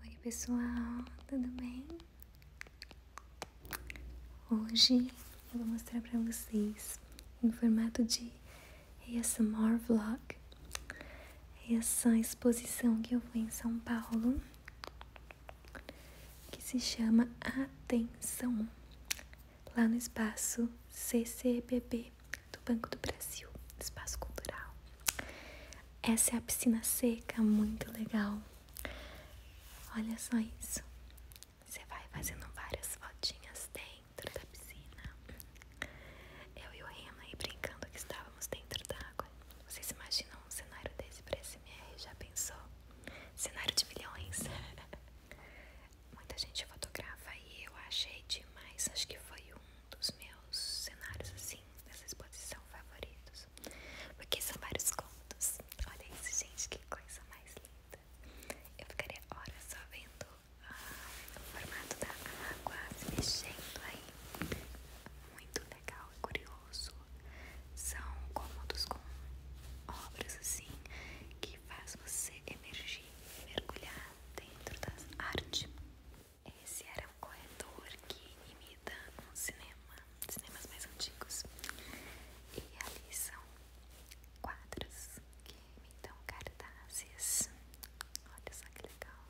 Oi pessoal, tudo bem? Hoje eu vou mostrar para vocês em formato de ASMR Vlog essa exposição que eu vou em São Paulo que se chama Atenção lá no espaço CCBB do Banco do Brasil, Espaço Cultural. Essa é a piscina seca, muito legal. Olha só isso. Você vai fazendo várias fotinhas dentro da piscina. Eu e o Rima aí brincando que estávamos dentro da d'água. Vocês imaginam um cenário desse pra SMR? Já pensou? Cenário de milhões. Muita gente fotografa aí, eu achei demais. Acho que foi um dos meus cenários assim dessa exposição favoritos. Porque são vários cômodos. Olha isso, gente, que coisa mais linda. Eu ficaria horas só vendo ah, o formato da água se mexendo aí. Muito legal e é curioso. São cômodos com obras assim que faz você emergir, mergulhar dentro das artes. Esse era um corretor que imita um cinema, cinemas mais antigos. E ali são quadros que imitam cartazes. Olha só que legal.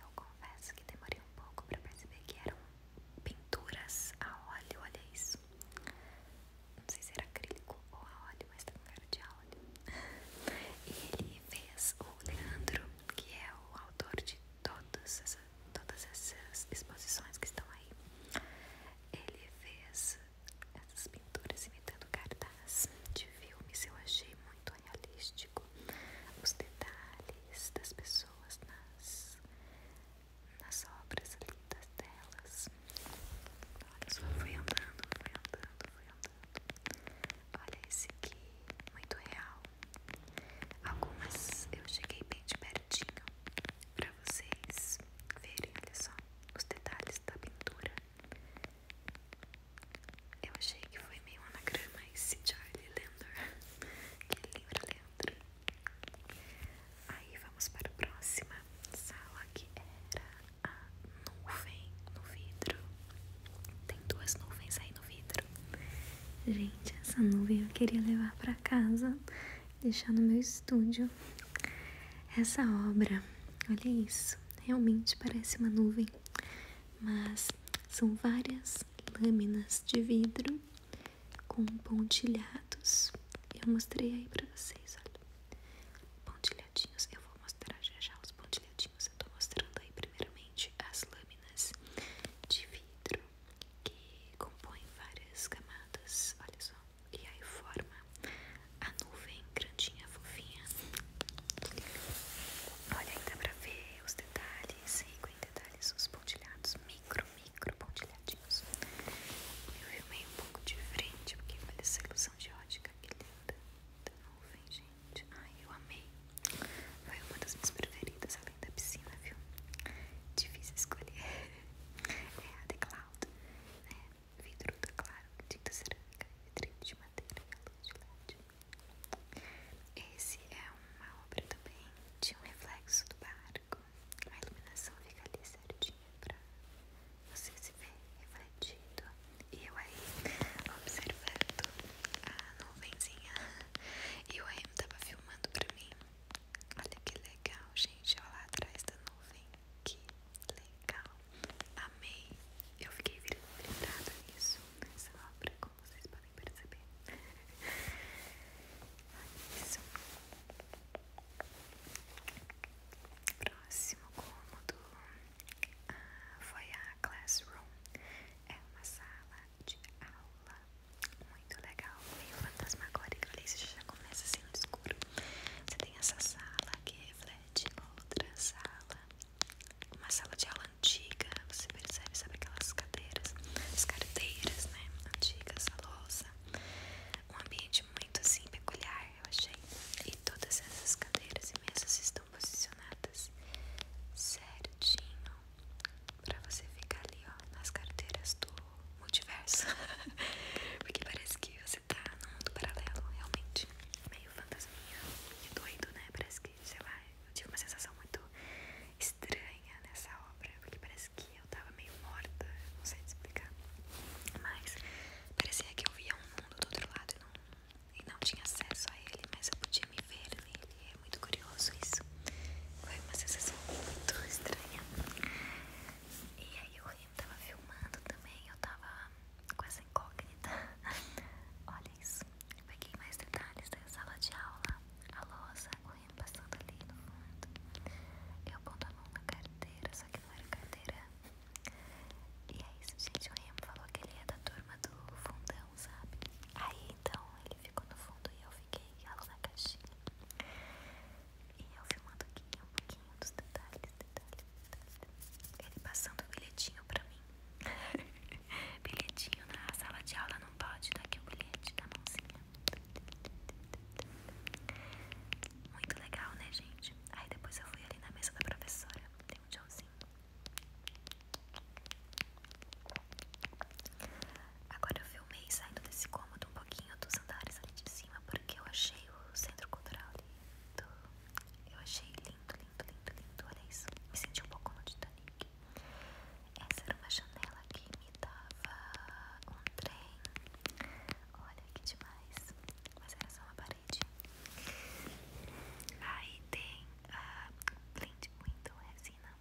Eu confesso que demorei um pouco para perceber que eram pinturas a óleo, olha isso. Não sei se era acrílico ou a óleo, mas está com cara de óleo. E ele fez o Leandro, que é o autor de todas, todas essas exposições que estão aí. Ele fez essas pinturas imitando cartaz de filmes, eu achei muito realístico. Os detalhes das pessoas nas, nas obras lindas delas Olha só, fui andando, fui andando, fui andando. Olha esse aqui, muito real. Algumas eu cheguei bem de pertinho pra vocês verem, olha só, os detalhes da pintura. Eu achei que foi meio anagrama esse Charlie Landor, que livra Leandro. Aí vamos para a próxima sala que era a nuvem no vidro. Tem duas nuvens aí no vidro. Gente, essa nuvem eu queria levar para casa, deixar no meu estúdio. Essa obra, olha isso, realmente parece uma nuvem, mas são várias lâminas de vidro com pontilhados. Eu mostrei aí para vocês, olha lado. Pontilhadinhos, eu vou mostrar já já os pontilhadinhos. Eu tô mostrando aí primeiramente as lâminas de vidro que compõem várias camadas, olha só, e aí forma a nuvem grandinha, fofinha. Olha aí, dá pra ver os detalhes, rico detalhes, os pontilhados, micro, micro pontilhados. Eu filmei um pouco de frente porque essa ilusão de ótica que linda da nuvem, gente. Ai, eu amei. Foi uma das minhas preferidas, além da piscina, viu? Difícil escolher. É a The Cloud, né? Vidro da claro, tinta cerâmica, vidrinho de madeira, luz de LED. Esse é uma obra também de um reflexo do barco a iluminação fica ali certinha pra você se ver refletido. E eu aí observando a nuvenzinha. E o Remo tava filmando pra mim. Olha que legal, gente. Olha lá atrás da nuvem. Que legal. Amei. Eu fiquei vibrada nisso, nessa obra, como vocês podem perceber. Isso. Próximo cômodo ah, foi a classroom. É uma sala de aula muito legal, meio fantasma fantasmagórica. Ali você já começa assim no escuro. Você tem essa sala que reflete outra sala, uma sala de aula antiga. Você percebe, sabe aquelas cadeiras, as carteiras, né? Antigas, a louça, um ambiente muito assim peculiar, eu achei. E todas essas cadeiras e mesas estão posicionadas certinho para você ficar ali, ó, nas carteiras do multiverso. Porque parece que você tá num mundo paralelo, realmente. Meio fantasminha, meio doido, né? Parece que, sei lá, eu tive uma sensação muito estranha nessa obra, porque parece que eu tava meio morta, não sei explicar. Mas parecia que eu via um mundo do outro lado e não, e não tinha acesso a ele, mas eu podia me ver nele. é muito curioso isso. Foi uma sensação muito estranha. E aí o Rio tava filmando também, eu tava com essa incógnita. Olha isso. Eu peguei mais detalhes da sala de aula, a lousa, passando ali no fundo. Eu aponto a mão na carteira, só que não era carteira. E é isso, gente. O falou que ele é da turma do fundão, sabe? Aí então ele ficou no fundo e eu fiquei lá na caixinha. E eu filmando aqui um pouquinho dos detalhes, detalhes, detalhes. Ele passando o bilhetinho pra mim. bilhetinho na sala de aula não pode, tá aqui o bilhete da mãozinha. Muito legal, né, gente? Aí depois eu fui ali na mesa da professora, tem um tchauzinho. Agora eu filmei saindo desse cômodo um pouquinho dos andares ali de cima, porque eu achei o centro cultural lindo. Eu achei lindo, lindo, lindo, lindo. Olha isso. Me senti um pouco no Titanic. Essa era uma janela que imitava um trem. Olha que demais. Mas era só uma parede. Aí tem a ah, Blind é assim Resina.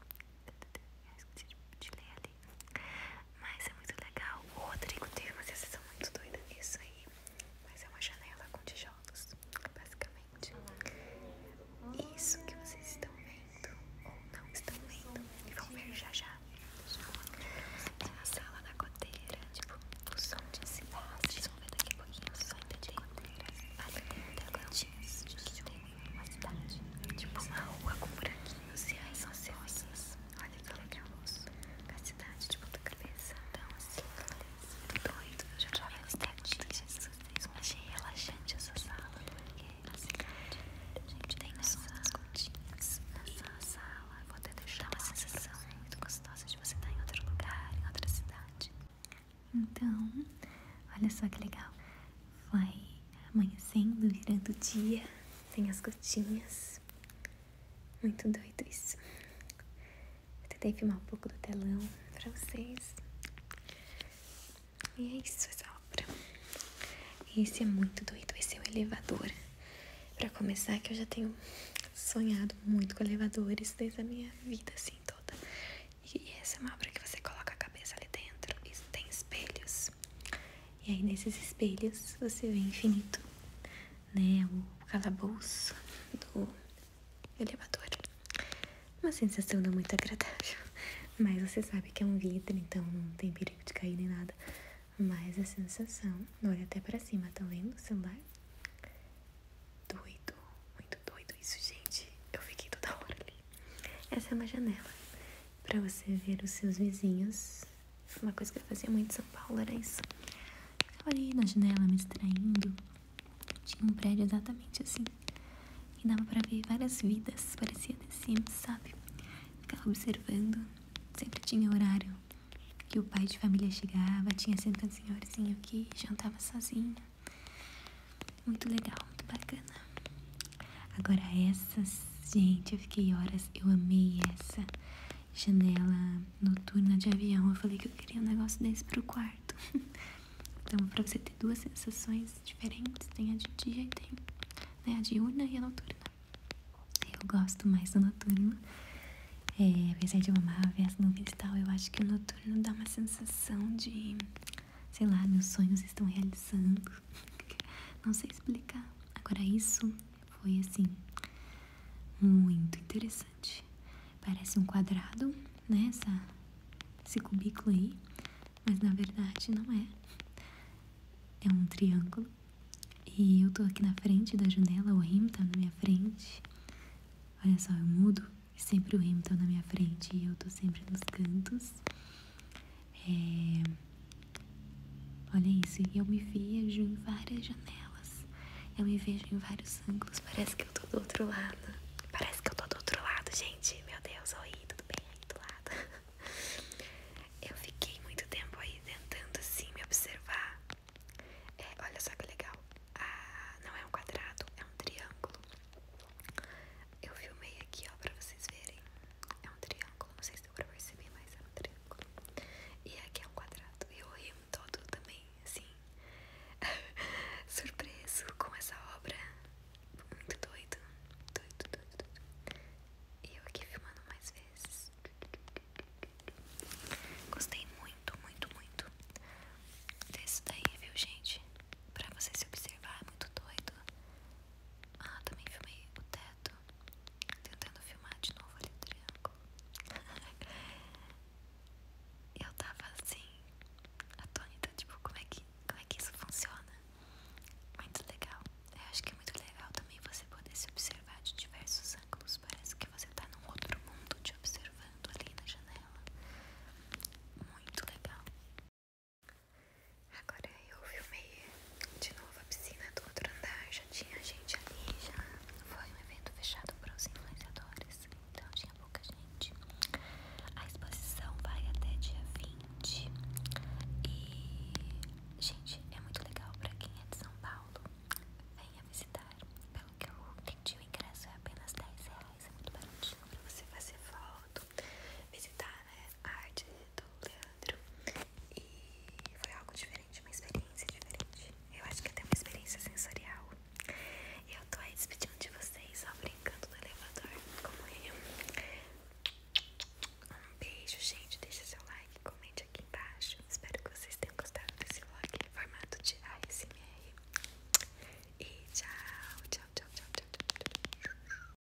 Eu esqueci de ler ali. Mas é muito legal. O Rodrigo teve uma sensação muito doida nisso aí. Mas é uma janela com tijolos, basicamente. Isso que vocês estão vendo ou não estão vendo e vão ver já já. É a sala da goteira, tipo, o som de cidade. Vocês vão ver daqui a pouquinho o som de goteira. Ali dentro da Gautiz, tem uma cidade, tipo uma rua com buraquinhos e aí são as rosas. Olha que legal. A cidade tipo ponta cabeça, então assim, doido. Eu já trabalho estatísticas vocês. Eu achei relaxante essa sala, porque assim, a gente tem nessa, nessa sala, vou até deixar uma sensação muito gostosa de você estar em outro lugar, em outra cidade. Então, olha só que legal. Vai amanhecendo, virando o dia, tem as gotinhas. Muito doido isso tentei filmar um pouco do telão pra vocês. E é isso, essa obra. Esse é muito doido, esse é o elevador. Pra começar, que eu já tenho sonhado muito com elevadores desde a minha vida, assim, toda. E essa é uma obra que você coloca a cabeça ali dentro e tem espelhos. E aí, nesses espelhos, você vê infinito, né? O calabouço do elevador. Uma sensação não muito agradável. Mas você sabe que é um vidro, então não tem perigo de cair nem nada. Mas a sensação. Olha até pra cima, tá vendo o celular? Doido, muito doido isso, gente. Eu fiquei toda hora ali. Essa é uma janela para você ver os seus vizinhos. Uma coisa que eu fazia muito em São Paulo era isso. Ficava ali na janela me distraindo. Tinha um prédio exatamente assim. E dava para ver várias vidas, parecia The sabe? Ficava observando. Sempre tinha horário que o pai de família chegava, tinha sempre um senhorzinho que jantava sozinho. Muito legal, muito bacana. Agora essas, gente, eu fiquei horas, eu amei essa janela noturna de avião. Eu falei que eu queria um negócio desse pro quarto. então, pra você ter duas sensações diferentes, tem a de dia e tem né, a diurna e a noturna. Eu gosto mais do noturno. É, apesar de eu amar ver as nuvens e tal, eu acho que o noturno dá uma sensação de, sei lá, meus sonhos estão realizando. Não sei explicar. Agora, isso foi assim, muito interessante. Parece um quadrado, né? esse cubículo aí, mas na verdade não é. É um triângulo. E eu tô aqui na frente da janela, o rim tá na minha frente. Olha só, eu mudo e sempre o rim tá na minha frente e eu tô sempre nos cantos. É, Olha isso, eu me vejo em várias janelas. Eu me vejo em vários ângulos. Parece que eu tô do outro lado. Parece que eu tô do outro lado, gente. Meu Deus, oi, tudo bem aí do lado? Eu fiquei muito tempo aí tentando assim me observar. É, olha só que legal. Ah, não é um quadrado, é um triângulo. Eu filmei aqui, ó, pra vocês verem. É um triângulo. Não sei se deu pra perceber, mas é um triângulo. E aqui é um quadrado. E eu ri todo também, assim, surpreso com essa obra. Muito doido. Doido, doido, doido. E eu aqui filmando mais vezes. Gostei muito, muito, muito desse daí, viu, gente? Pra você se observar, é muito doido. Ah, também filmei o teto. Tentando filmar de novo ali o triângulo. eu tava assim, atônita, tipo, como é que, como é que isso funciona? Muito legal. Eu acho que é muito legal também você poder se observar de diversos ângulos. Parece que você tá num outro mundo te observando ali na janela. Muito legal. Agora eu filmei de novo a piscina do outro andar, já tinha gente ali, já foi um evento fechado para os influenciadores, então tinha pouca gente. A exposição vai até dia 20 e, gente, é muito legal para quem é de São Paulo, venha visitar. Pelo que eu entendi, o ingresso é apenas 10 reais, é muito baratinho para você fazer foto, visitar é arte do Leandro. E foi algo diferente, uma experiência diferente. Eu acho que até uma experiência sensorial. Eu tô aí despedindo de vocês, só brincando no elevador, como eu. Um beijo, gente. Deixa seu like, comente aqui embaixo. Espero que vocês tenham gostado desse vlog em formato de ASMR. E tchau, tchau, tchau, tchau, tchau. tchau, tchau.